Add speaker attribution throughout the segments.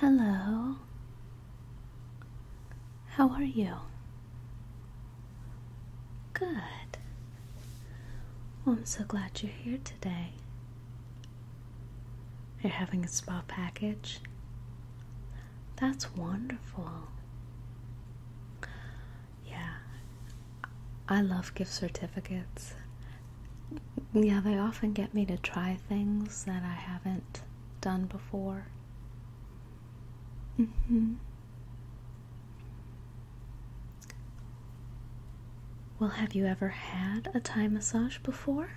Speaker 1: Hello. How are you? Good. I'm so glad you're here today. You're having a spa package? That's wonderful. Yeah, I love gift certificates yeah, they often get me to try things that I haven't done before. Mm-hmm. Well, have you ever had a Thai massage before?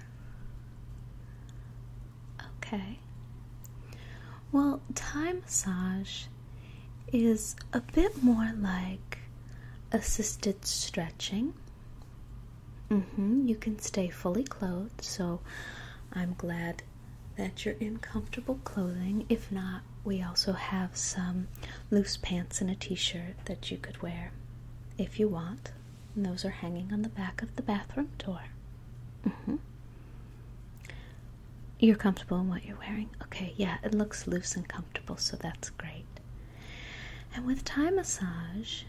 Speaker 1: Okay. Well, Thai massage is a bit more like assisted stretching. Mm-hmm. You can stay fully clothed, so I'm glad that you're in comfortable clothing. If not, we also have some loose pants and a t-shirt that you could wear if you want. And those are hanging on the back of the bathroom door. Mm-hmm. You're comfortable in what you're wearing? Okay, yeah, it looks loose and comfortable, so that's great. And with Thai massage,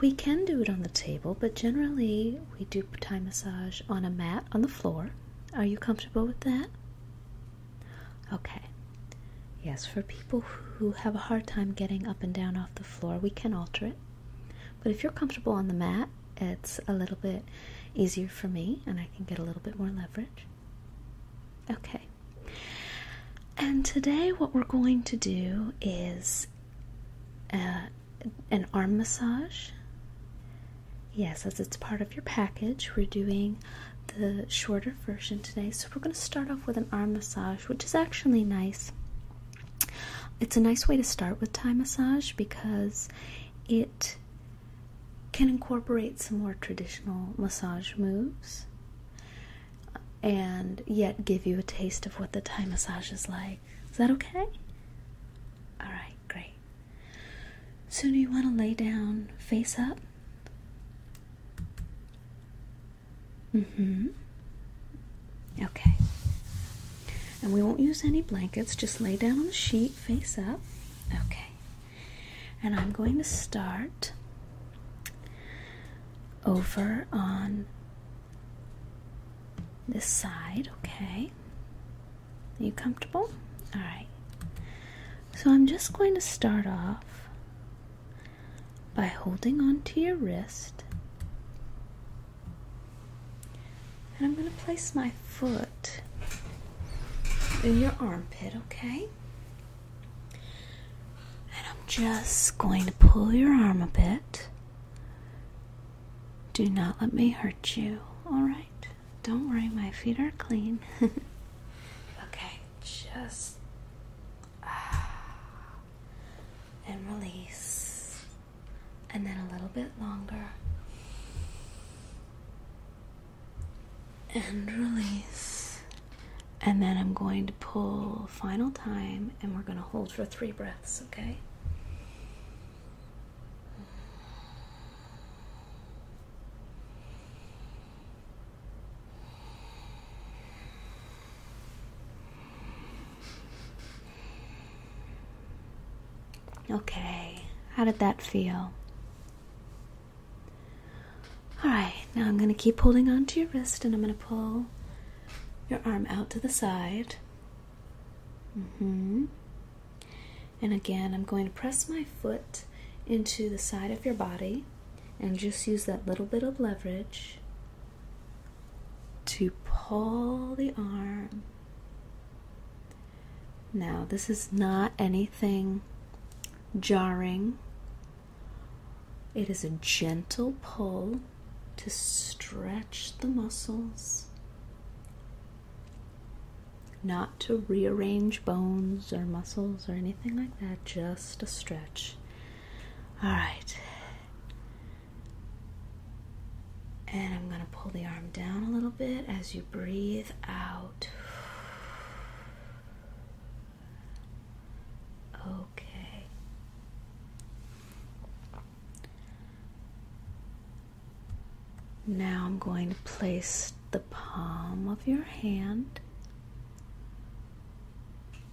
Speaker 1: we can do it on the table, but generally we do Thai massage on a mat on the floor. Are you comfortable with that? Okay. Yes, for people who have a hard time getting up and down off the floor, we can alter it. But if you're comfortable on the mat, it's a little bit easier for me and I can get a little bit more leverage. Okay, and today, what we're going to do is uh, an arm massage. Yes, as it's part of your package, we're doing the shorter version today. So, we're going to start off with an arm massage, which is actually nice. It's a nice way to start with Thai massage because it can incorporate some more traditional massage moves and yet give you a taste of what the Thai massage is like. Is that okay? Alright, great. So, do you want to lay down face up? Mm hmm. Okay. And we won't use any blankets, just lay down on the sheet face up. Okay. And I'm going to start over on this side, okay? Are you comfortable? All right. So I'm just going to start off by holding on to your wrist. And I'm going to place my foot in your armpit, okay? And I'm just going to pull your arm a bit. Do not let me hurt you. All right. Don't worry, my feet are clean. okay, just. Ah, and release. And then a little bit longer. And release and then I'm going to pull final time and we're going to hold for three breaths, okay? Okay, how did that feel? Alright, now I'm going to keep holding onto your wrist and I'm going to pull your arm out to the side. Mm-hmm. And again, I'm going to press my foot into the side of your body and just use that little bit of leverage to pull the arm. Now, this is not anything jarring it is a gentle pull to stretch the muscles, not to rearrange bones or muscles or anything like that, just a stretch. All right. And I'm going to pull the arm down a little bit as you breathe out. Okay. Now I'm going to place the palm of your hand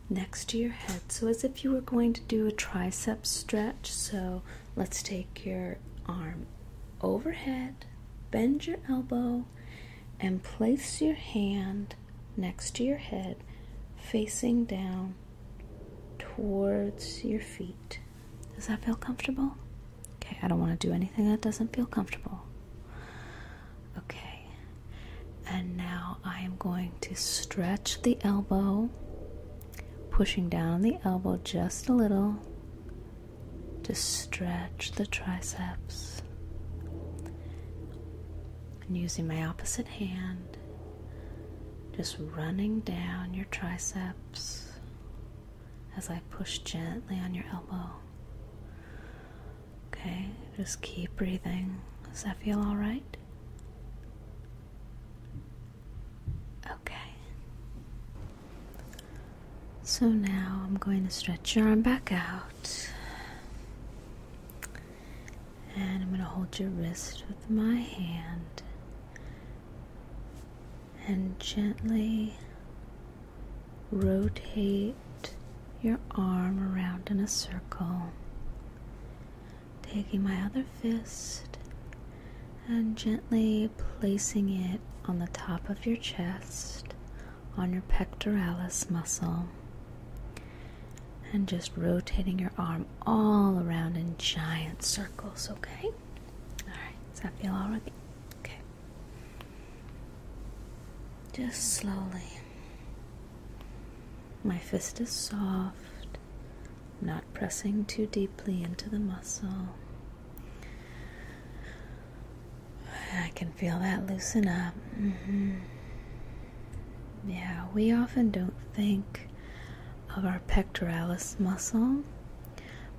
Speaker 1: next to your head. So, as if you were going to do a tricep stretch. So, let's take your arm overhead, bend your elbow, and place your hand next to your head, facing down towards your feet. Does that feel comfortable? Okay, I don't want to do anything that doesn't feel comfortable. Okay, and now I am going to stretch the elbow, pushing down the elbow just a little to stretch the triceps. And using my opposite hand, just running down your triceps as I push gently on your elbow. Okay, just keep breathing. Does that feel all right? Okay. So now I'm going to stretch your arm back out. And I'm going to hold your wrist with my hand and gently rotate your arm around in a circle, taking my other fist and gently placing it on the top of your chest on your pectoralis muscle and just rotating your arm all around in giant circles, okay? Alright, does that feel alright? Okay. Just slowly. My fist is soft, not pressing too deeply into the muscle. I can feel that loosen up. Mm-hmm. Yeah, we often don't think of our pectoralis muscle,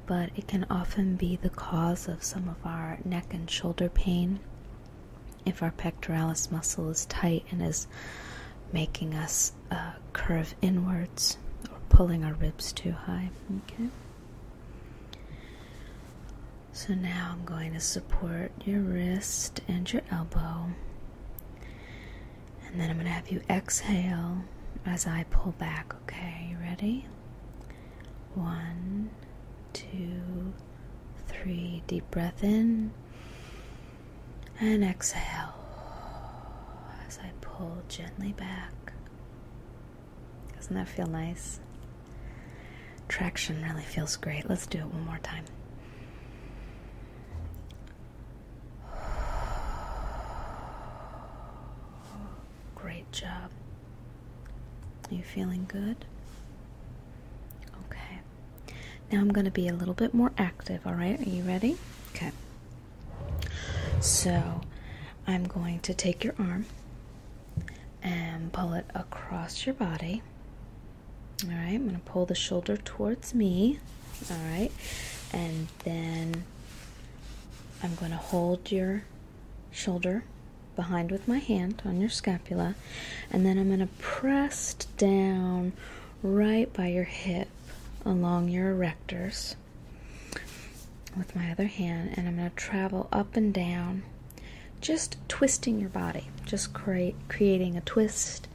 Speaker 1: but it can often be the cause of some of our neck and shoulder pain if our pectoralis muscle is tight and is making us uh, curve inwards or pulling our ribs too high. Okay. So now I'm going to support your wrist and your elbow and then I'm going to have you exhale as I pull back, okay? You ready? One, two, three. Deep breath in. And exhale as I pull gently back. Doesn't that feel nice? Traction really feels great. Let's do it one more time. Great job. Are you feeling good? Okay. Now I'm going to be a little bit more active, all right? Are you ready? Okay. So I'm going to take your arm and pull it across your body all right, I'm going to pull the shoulder towards me. All right, and then I'm going to hold your shoulder behind with my hand on your scapula, and then I'm going to press down right by your hip along your erectors with my other hand, and I'm going to travel up and down, just twisting your body, just creating a twist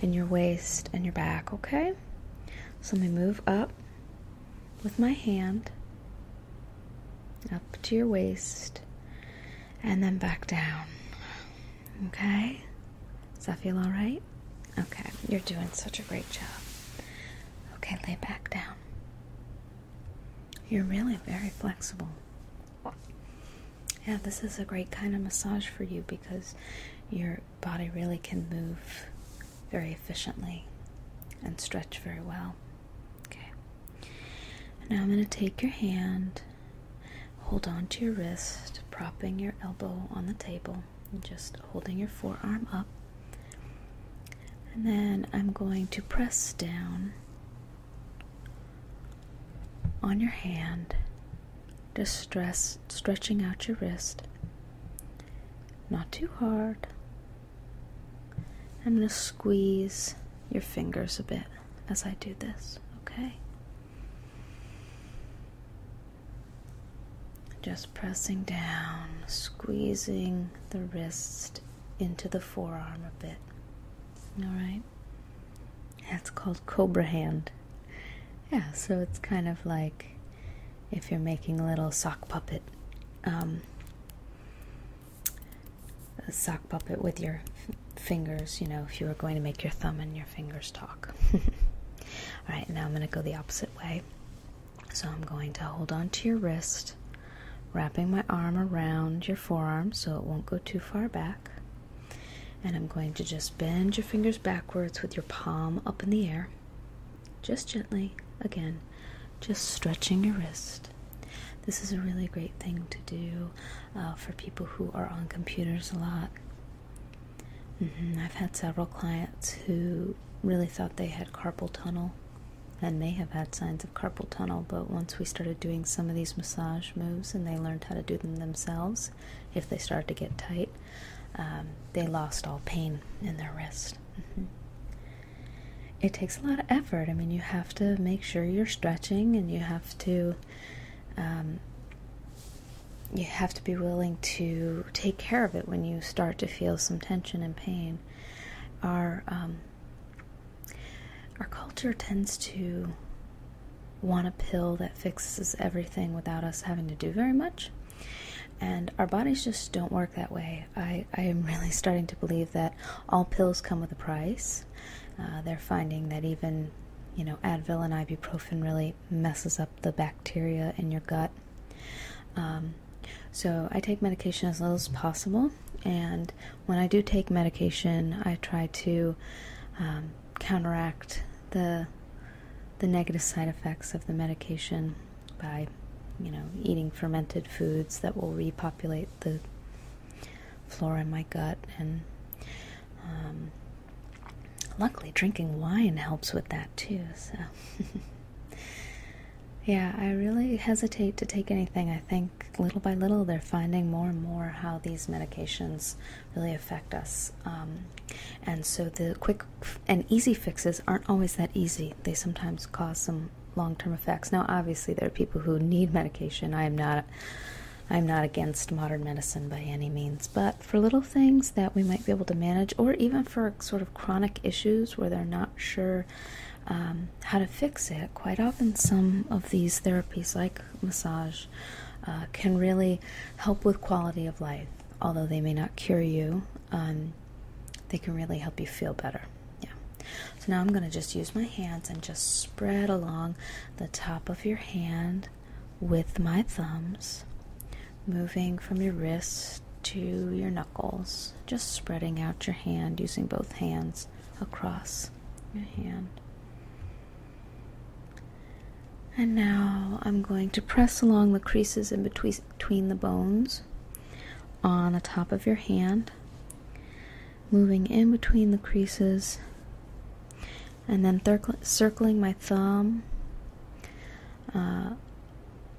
Speaker 1: in your waist and your back, okay? So let me move up with my hand, up to your waist, and then back down. Okay? Does that feel all right? Okay, you're doing such a great job. Okay, lay back down. You're really very flexible yeah, this is a great kind of massage for you because your body really can move very efficiently and stretch very well. Okay. now I'm going to take your hand, hold on to your wrist, propping your elbow on the table, just holding your forearm up. And then I'm going to press down on your hand Distress, stretching out your wrist. Not too hard. I'm going to squeeze your fingers a bit as I do this, okay? Just pressing down, squeezing the wrist into the forearm a bit. All right? That's called Cobra Hand. Yeah, so it's kind of like if you're making a little sock puppet, um, a sock puppet with your fingers, you know, if you were going to make your thumb and your fingers talk. All right, now I'm going to go the opposite way. So I'm going to hold on to your wrist, wrapping my arm around your forearm so it won't go too far back. And I'm going to just bend your fingers backwards with your palm up in the air. Just gently, again, just stretching your wrist. This is a really great thing to do uh, for people who are on computers a lot. Mm-hmm, I've had several clients who really thought they had carpal tunnel and may have had signs of carpal tunnel, but once we started doing some of these massage moves and they learned how to do them themselves, if they start to get tight. Um, they lost all pain in their wrist. Mm-hmm. It takes a lot of effort. I mean, you have to make sure you're stretching, and you have to um, you have to be willing to take care of it when you start to feel some tension and pain. Our um, our culture tends to want a pill that fixes everything without us having to do very much. And our bodies just don't work that way. I, am really starting to believe that all pills come with a price. Uh, they're finding that even, you know, Advil and ibuprofen really messes up the bacteria in your gut. Um, so I take medication as little as possible. And when I do take medication, I try to um, counteract the the negative side effects of the medication by, you know, eating fermented foods that will repopulate the flora in my gut. And um, luckily, drinking wine helps with that too. So, yeah, I really hesitate to take anything. I think little by little, they're finding more and more how these medications really affect us. Um, and so the quick and easy fixes aren't always that easy. They sometimes cause some long-term effects. Now, obviously, there are people who need medication. I am not. I am not against modern medicine by any means, but for little things that we might be able to manage, or even for sort of chronic issues where they're not sure um, how to fix it, quite often some of these therapies, like massage, uh, can really help with quality of life. Although they may not cure you, um, they can really help you feel better. Yeah. So now I'm going to just use my hands and just spread along the top of your hand with my thumbs, moving from your wrists to your knuckles, just spreading out your hand using both hands across your hand. And now I'm going to press along the creases in between, the bones on the top of your hand, moving in between the creases, and then circling my thumb uh,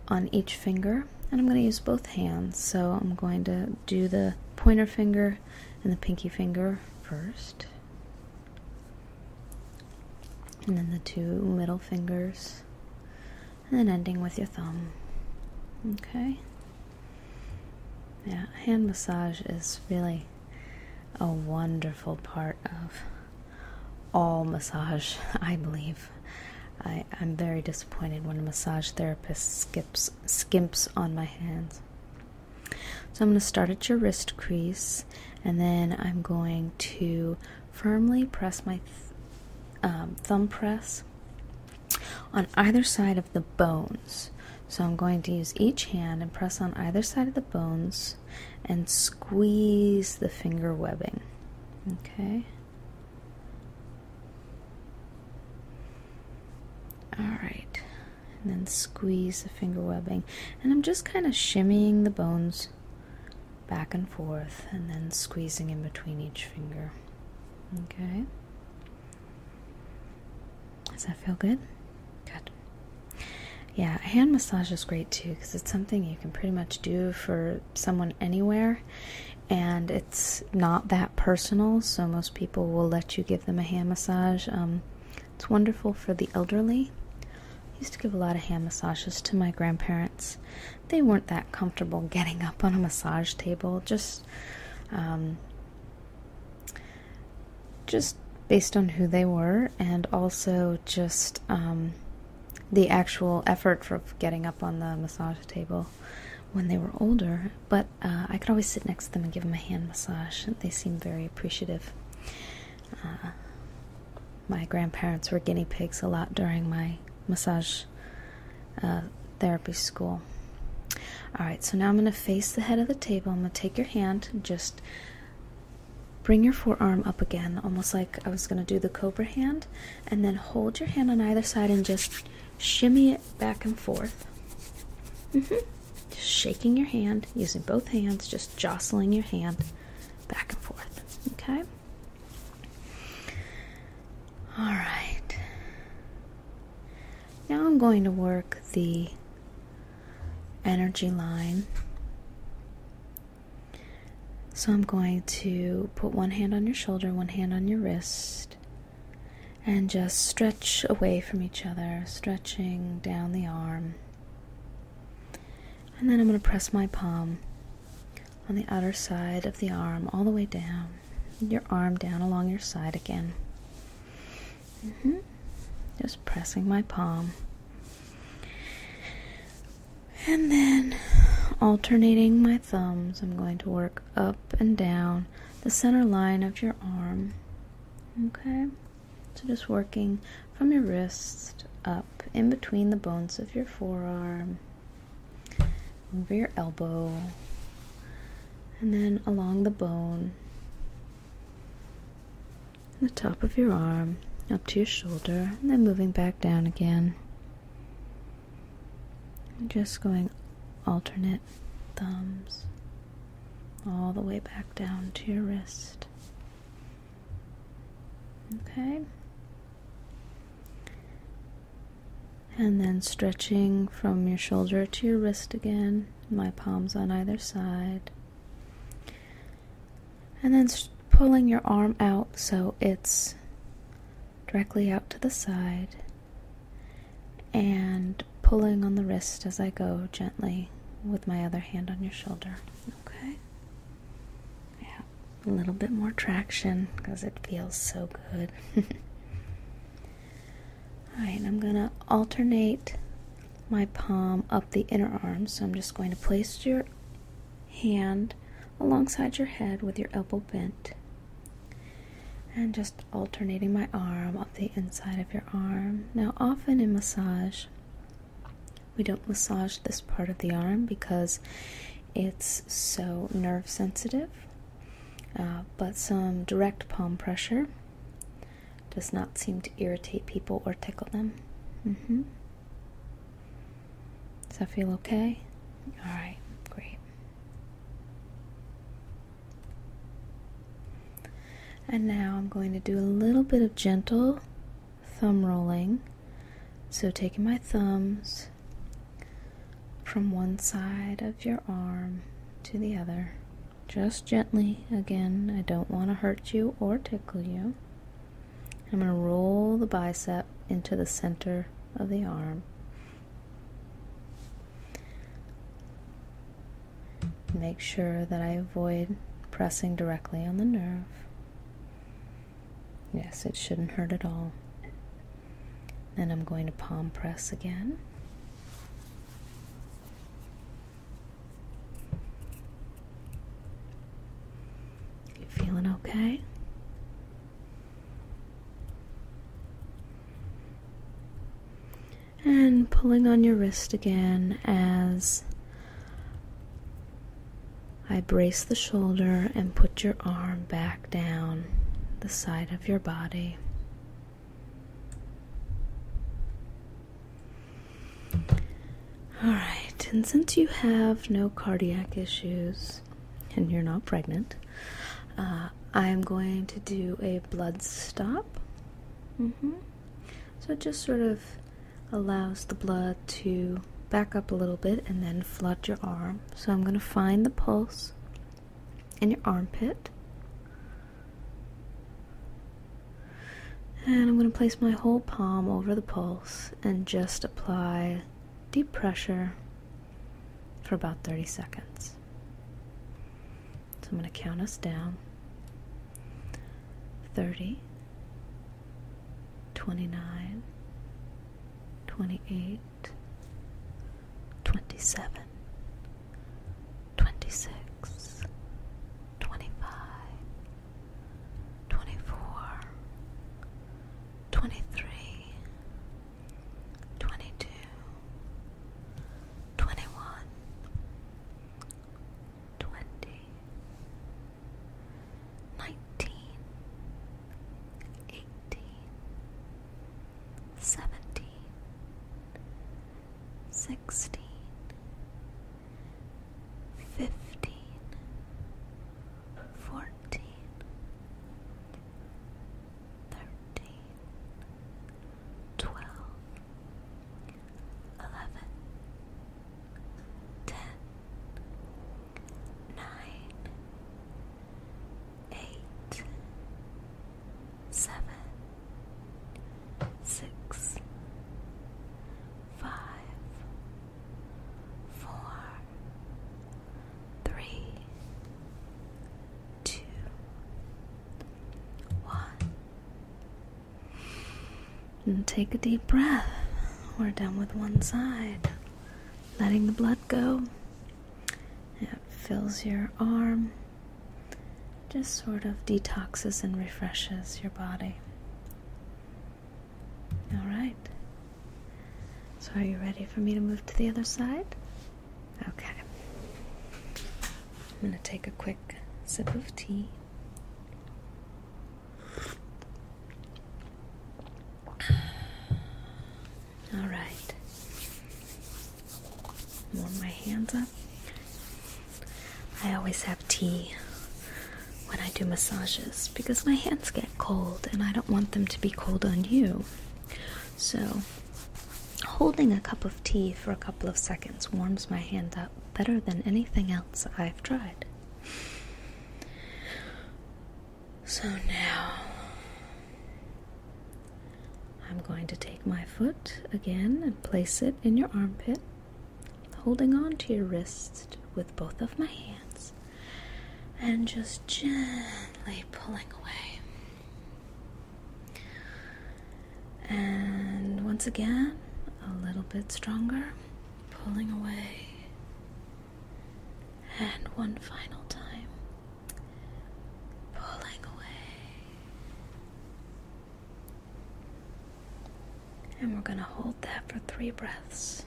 Speaker 1: on each finger. And I'm going to use both hands, so I'm going to do the pointer finger and the pinky finger first and then the two middle fingers, and then ending with your thumb. Okay. Yeah, hand massage is really a wonderful part of all massage, I believe. I, am very disappointed when a massage therapist skips skimps on my hands. So I'm going to start at your wrist crease and then I'm going to firmly press my um, thumb press on either side of the bones. So I'm going to use each hand and press on either side of the bones and squeeze the finger webbing. Okay. All right. And then squeeze the finger webbing. And I'm just kind of shimmying the bones back and forth and then squeezing in between each finger. Okay. Does that feel good? Good. Yeah, hand massage is great too because it's something you can pretty much do for someone anywhere and it's not that personal, so most people will let you give them a hand massage. Um, it's wonderful for the elderly. I used to give a lot of hand massages to my grandparents. They weren't that comfortable getting up on a massage table, just, um, just based on who they were, and also just um, the actual effort for getting up on the massage table when they were older. But uh, I could always sit next to them and give them a hand massage. They seemed very appreciative. Uh, my grandparents were guinea pigs a lot during my massage uh, therapy school. All right, so now I'm going to face the head of the table. I'm going to take your hand and just bring your forearm up again, almost like I was going to do the cobra hand, and then hold your hand on either side and just shimmy it back and forth. Mm -hmm. Just shaking your hand, using both hands, just jostling your hand back and forth. Okay? Alright. Now I'm going to work the energy line. So I'm going to put one hand on your shoulder, one hand on your wrist, and just stretch away from each other, stretching down the arm. And then I'm going to press my palm on the outer side of the arm all the way down, your arm down along your side again. Mm-hmm. Just pressing my palm. And then alternating my thumbs, I'm going to work up and down the center line of your arm. Okay? So just working from your wrist up in between the bones of your forearm, over your elbow, and then along the bone, the top of your arm, up to your shoulder, and then moving back down again. just going alternate thumbs all the way back down to your wrist. Okay. And then stretching from your shoulder to your wrist again, my palms on either side. And then pulling your arm out so it's directly out to the side. And pulling on the wrist as I go gently with my other hand on your shoulder. Okay? Yeah, a little bit more traction because it feels so good. Alright, I'm going to alternate my palm up the inner arm. So I'm just going to place your hand alongside your head with your elbow bent. And just alternating my arm up the inside of your arm. Now, often in massage, we don't massage this part of the arm because it's so nerve sensitive. Uh, but some direct palm pressure does not seem to irritate people or tickle them. Mm-hmm. So I feel okay? All right, great. And now I'm going to do a little bit of gentle thumb rolling. So, taking my thumbs from one side of your arm to the other, just gently. Again, I don't want to hurt you or tickle you. I'm going to roll the bicep into the center of the arm. Make sure that I avoid pressing directly on the nerve. Yes, it shouldn't hurt at all. And I'm going to palm press again. You feeling okay? And pulling on your wrist again as I brace the shoulder and put your arm back down the side of your body. All right, and since you have no cardiac issues and you're not pregnant, uh, I'm going to do a blood stop. Mm-hmm. So just sort of allows the blood to back up a little bit and then flood your arm. So I'm going to find the pulse in your armpit. And I'm going to place my whole palm over the pulse and just apply deep pressure for about 30 seconds. So I'm going to count us down 30, 29 28 27 26 25 24 23 22 21 20 nineteen, eighteen, seventeen, sixteen, fifteen, fourteen, thirteen, twelve, eleven, ten nine, eight, seven, six, five, four, three, two, one. And take a deep breath. We're done with one side. Letting the blood go. It fills your arm. Just sort of detoxes and refreshes your body. Alright. So, are you ready for me to move to the other side? Okay. I'm going to take a quick sip of tea. All right. Warm my hands up. I always have tea when I do massages because my hands get cold and I don't want them to be cold on you. So, holding a cup of tea for a couple of seconds warms my hand up better than anything else I've tried. So now I'm going to take my foot again and place it in your armpit, holding on to your wrist with both of my hands, and just gently pulling away. And once again, a little bit stronger, pulling away. And one final time, pulling away. And we're going to hold that for three breaths.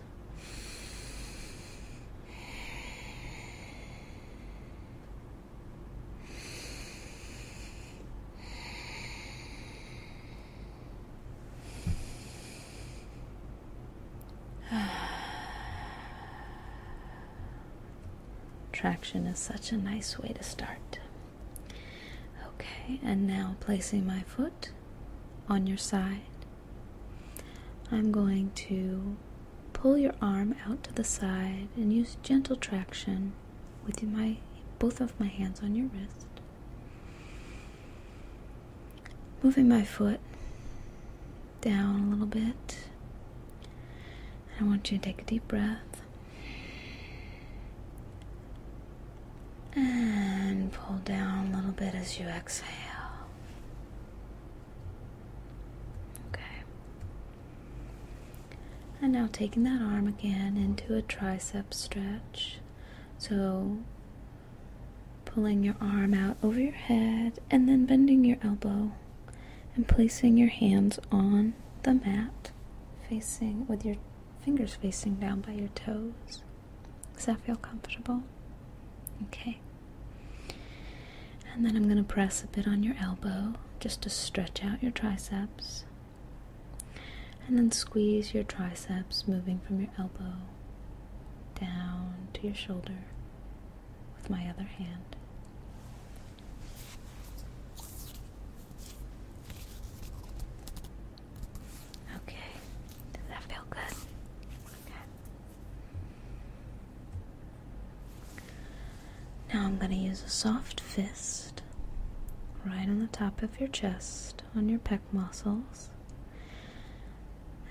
Speaker 1: Traction is such a nice way to start. Okay, and now placing my foot on your side, I'm going to pull your arm out to the side and use gentle traction with my both of my hands on your wrist moving my foot down a little bit. I want you to take a deep breath and pull down a little bit as you exhale. Okay. And now taking that arm again into a tricep stretch. So Pulling your arm out over your head and then bending your elbow and placing your hands on the mat, facing with your fingers facing down by your toes. Does that feel comfortable? Okay. And then I'm going to press a bit on your elbow just to stretch out your triceps. And then squeeze your triceps, moving from your elbow down to your shoulder with my other hand. Okay, does that feel good? Now I'm going to use a soft fist right on the top of your chest on your pec muscles.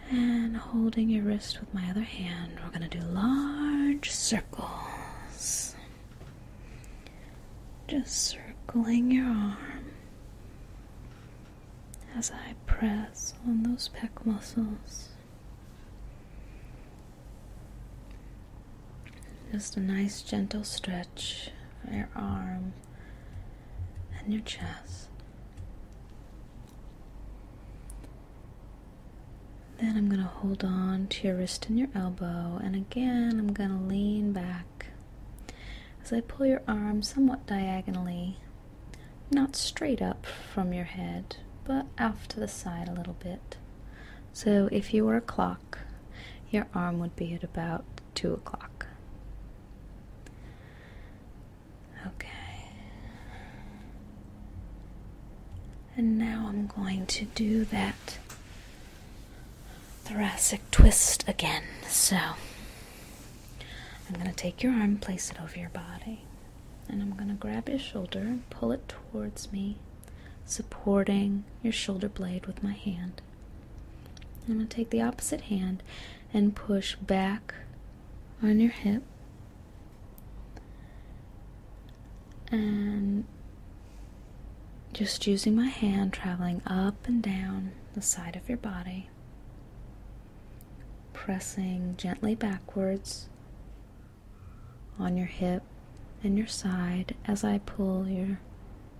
Speaker 1: And holding your wrist with my other hand, we're going to do large circles. Just circling your arm as I press on those pec muscles. Just a nice gentle stretch for your arm and your chest. Then I'm going to hold on to your wrist and your elbow, and again I'm going to lean back as I pull your arm somewhat diagonally, not straight up from your head, but off to the side a little bit. So if you were a clock, your arm would be at about 2 o'clock. Okay. And now I'm going to do that thoracic twist again. So I'm going to take your arm, place it over your body, and I'm going to grab your shoulder and pull it towards me, supporting your shoulder blade with my hand. I'm going to take the opposite hand and push back on your hip and just using my hand traveling up and down the side of your body, pressing gently backwards on your hip and your side as I pull your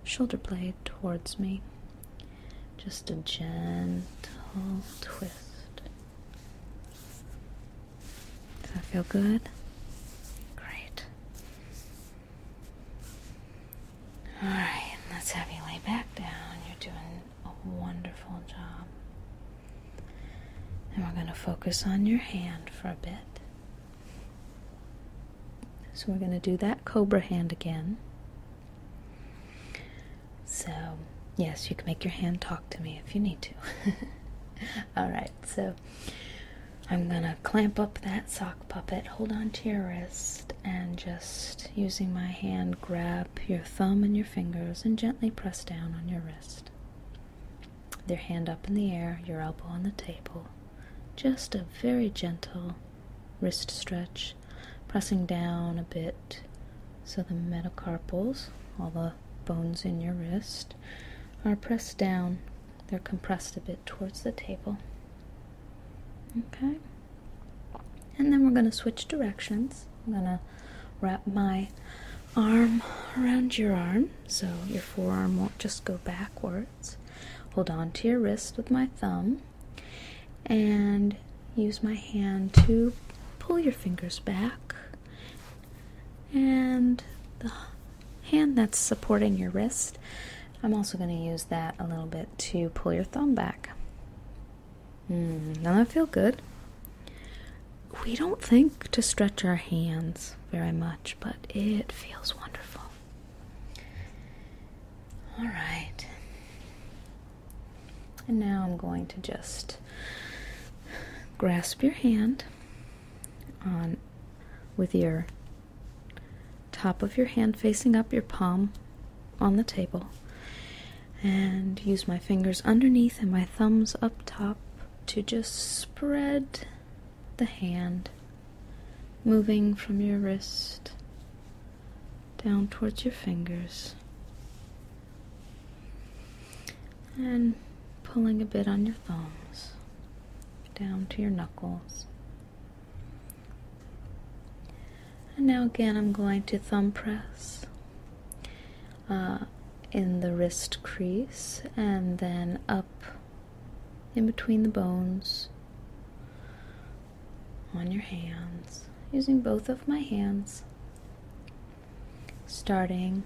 Speaker 1: shoulder blade towards me just a gentle twist. Does that feel good? Great. Alright, let's have you lay back down. You're doing a wonderful job. And we're going to focus on your hand for a bit. So we're going to do that cobra hand again. So, yes, you can make your hand talk to me if you need to. Alright, so I'm gonna clamp up that sock puppet, hold on to your wrist, and just using my hand, grab your thumb and your fingers and gently press down on your wrist. Your hand up in the air, your elbow on the table. Just a very gentle wrist stretch pressing down a bit so the metacarpals, all the bones in your wrist, are pressed down. They're compressed a bit towards the table. Okay? And then we're going to switch directions. I'm going to wrap my arm around your arm so your forearm won't just go backwards. Hold on to your wrist with my thumb and use my hand to pull your fingers back. And the hand that's supporting your wrist, I'm also going to use that a little bit to pull your thumb back. Mm, does that feel good? We don't think to stretch our hands very much, but it feels wonderful. All right. And now I'm going to just grasp your hand with your top of your hand facing up your palm on the table and use my fingers underneath and my thumbs up top to just spread the hand moving from your wrist down towards your fingers and pulling a bit on your thumbs down to your knuckles. And now again, I'm going to thumb press uh, in the wrist crease and then up in between the bones on your hands using both of my hands starting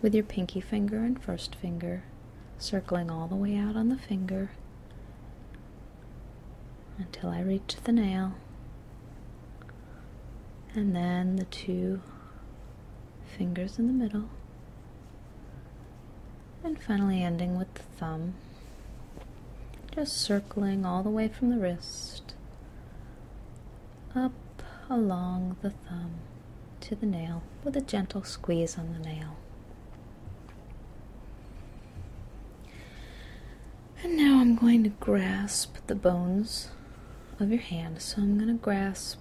Speaker 1: with your pinky finger and first finger, circling all the way out on the finger until I reach the nail, and then the two fingers in the middle, and finally ending with the thumb. Just circling all the way from the wrist up along the thumb to the nail with a gentle squeeze on the nail. And now I'm going to grasp the bones of your hand. So I'm going to grasp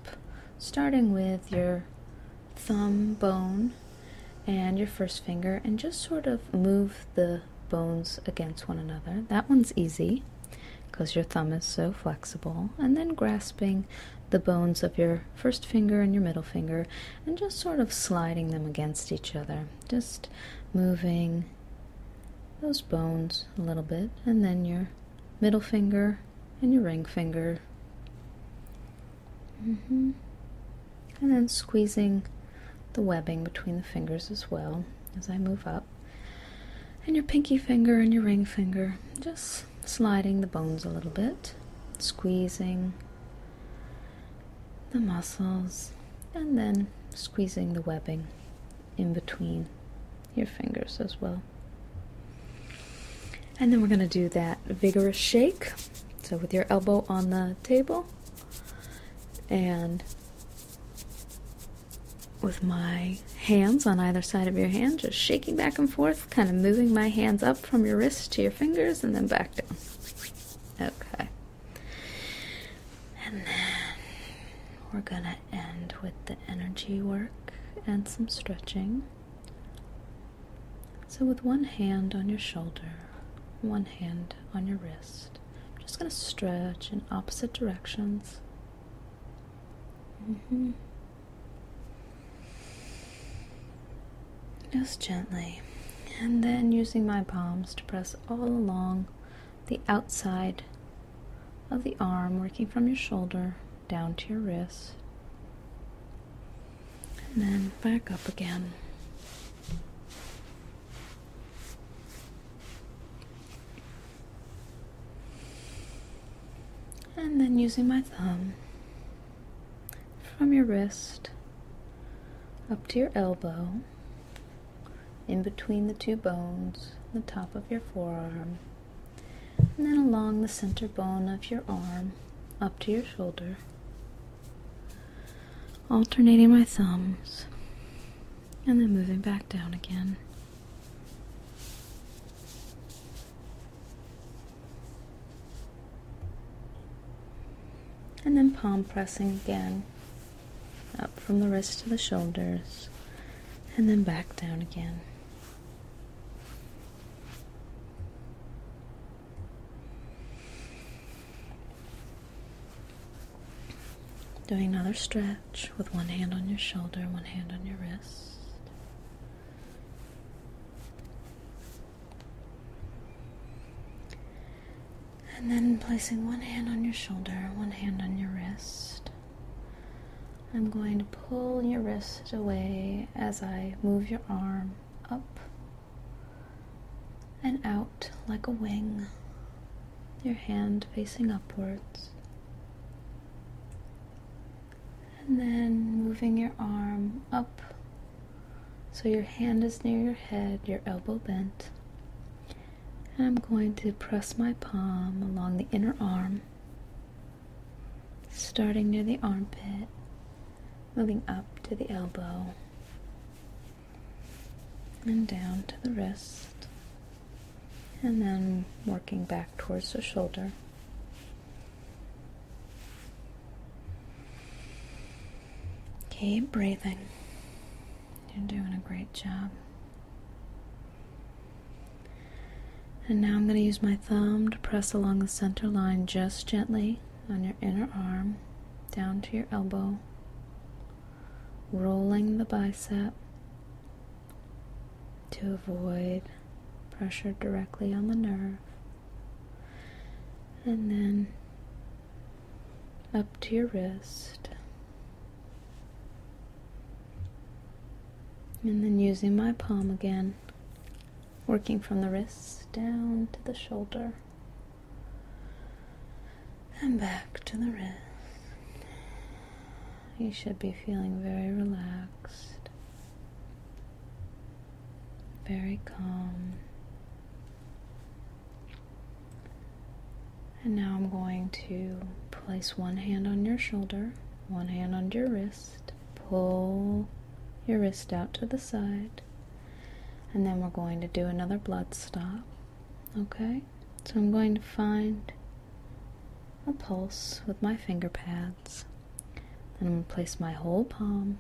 Speaker 1: starting with your thumb bone and your first finger and just sort of move the bones against one another. That one's easy because your thumb is so flexible, and then grasping the bones of your first finger and your middle finger and just sort of sliding them against each other, just moving those bones a little bit, and then your middle finger and your ring finger. Mm -hmm. And then squeezing the webbing between the fingers as well as I move up. And your pinky finger and your ring finger, just sliding the bones a little bit, squeezing the muscles, and then squeezing the webbing in between your fingers as well. And then we're going to do that vigorous shake. So, with your elbow on the table and with my hands on either side of your hand, just shaking back and forth, kind of moving my hands up from your wrists to your fingers and then back down. Okay. And then we're going to end with the energy work and some stretching. So, with one hand on your shoulder, one hand on your wrist, I'm just going to stretch in opposite directions. Mm-hmm. Just gently, and then using my palms to press all along the outside of the arm, working from your shoulder down to your wrist, and then back up again. And then using my thumb from your wrist up to your elbow, in between the two bones, the top of your forearm, and then along the center bone of your arm up to your shoulder, alternating my thumbs and then moving back down again. And then palm pressing again, up from the wrist to the shoulders, and then back down again. Doing another stretch with one hand on your shoulder, one hand on your wrist. And then placing one hand on your shoulder, one hand on your wrist. I'm going to pull your wrist away as I move your arm up and out like a wing your hand facing upwards. And then moving your arm up so your hand is near your head, your elbow bent. And I'm going to press my palm along the inner arm, starting near the armpit, moving up to the elbow, and down to the wrist and then working back towards the shoulder. Keep breathing. You're doing a great job. And now I'm going to use my thumb to press along the center line just gently on your inner arm, down to your elbow, rolling the bicep, to avoid pressure directly on the nerve, and then up to your wrist. And then using my palm again, working from the wrist down to the shoulder and back to the wrist. You should be feeling very relaxed, very calm. And now I'm going to place one hand on your shoulder, one hand on your wrist, pull your wrist out to the side, and then we're going to do another blood stop. Okay, so I'm going to find a pulse with my finger pads. And I'm going to place my whole palm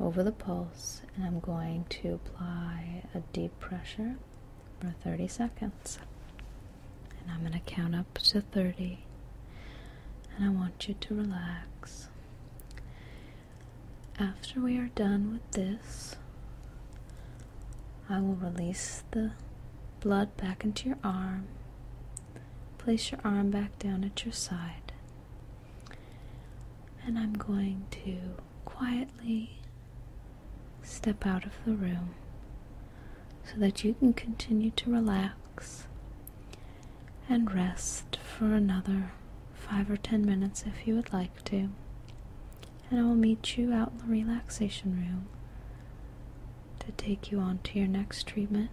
Speaker 1: over the pulse and I'm going to apply a deep pressure for 30 seconds. And I'm going to count up to 30. And I want you to relax. After we are done with this, I will release the blood back into your arm. Place your arm back down at your side. And I'm going to quietly step out of the room so that you can continue to relax and rest for another five or ten minutes if you would like to. And I will meet you out in the relaxation room to take you on to your next treatment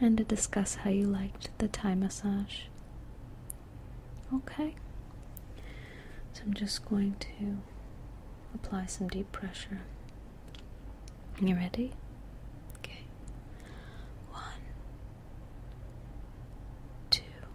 Speaker 1: and to discuss how you liked the Thai massage. Okay. So I'm just going to apply some deep pressure. Are You ready? Okay. One, two,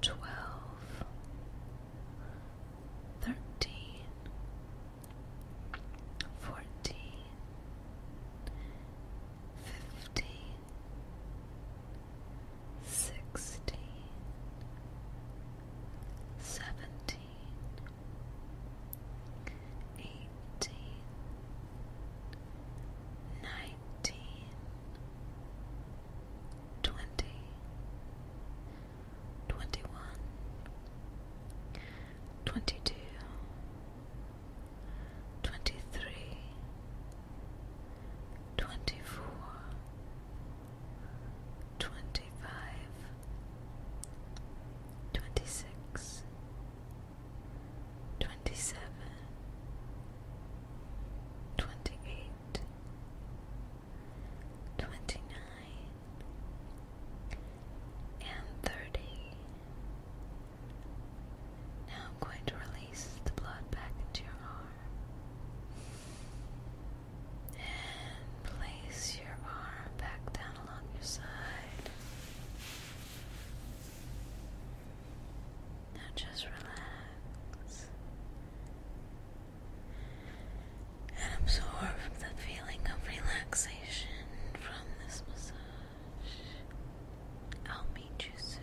Speaker 1: twelve, thirteen, fourteen, fifteen, sixteen, seventeen, eighteen, nineteen twenty, twenty one, twenty two, twenty three, twenty four, twenty five, twenty six. 25 27 28 29 and 30 now I'm going to release the blood back into your arm and place your arm back down along your side now just relax and absorb the feeling of relaxation from this massage. I'll meet you soon.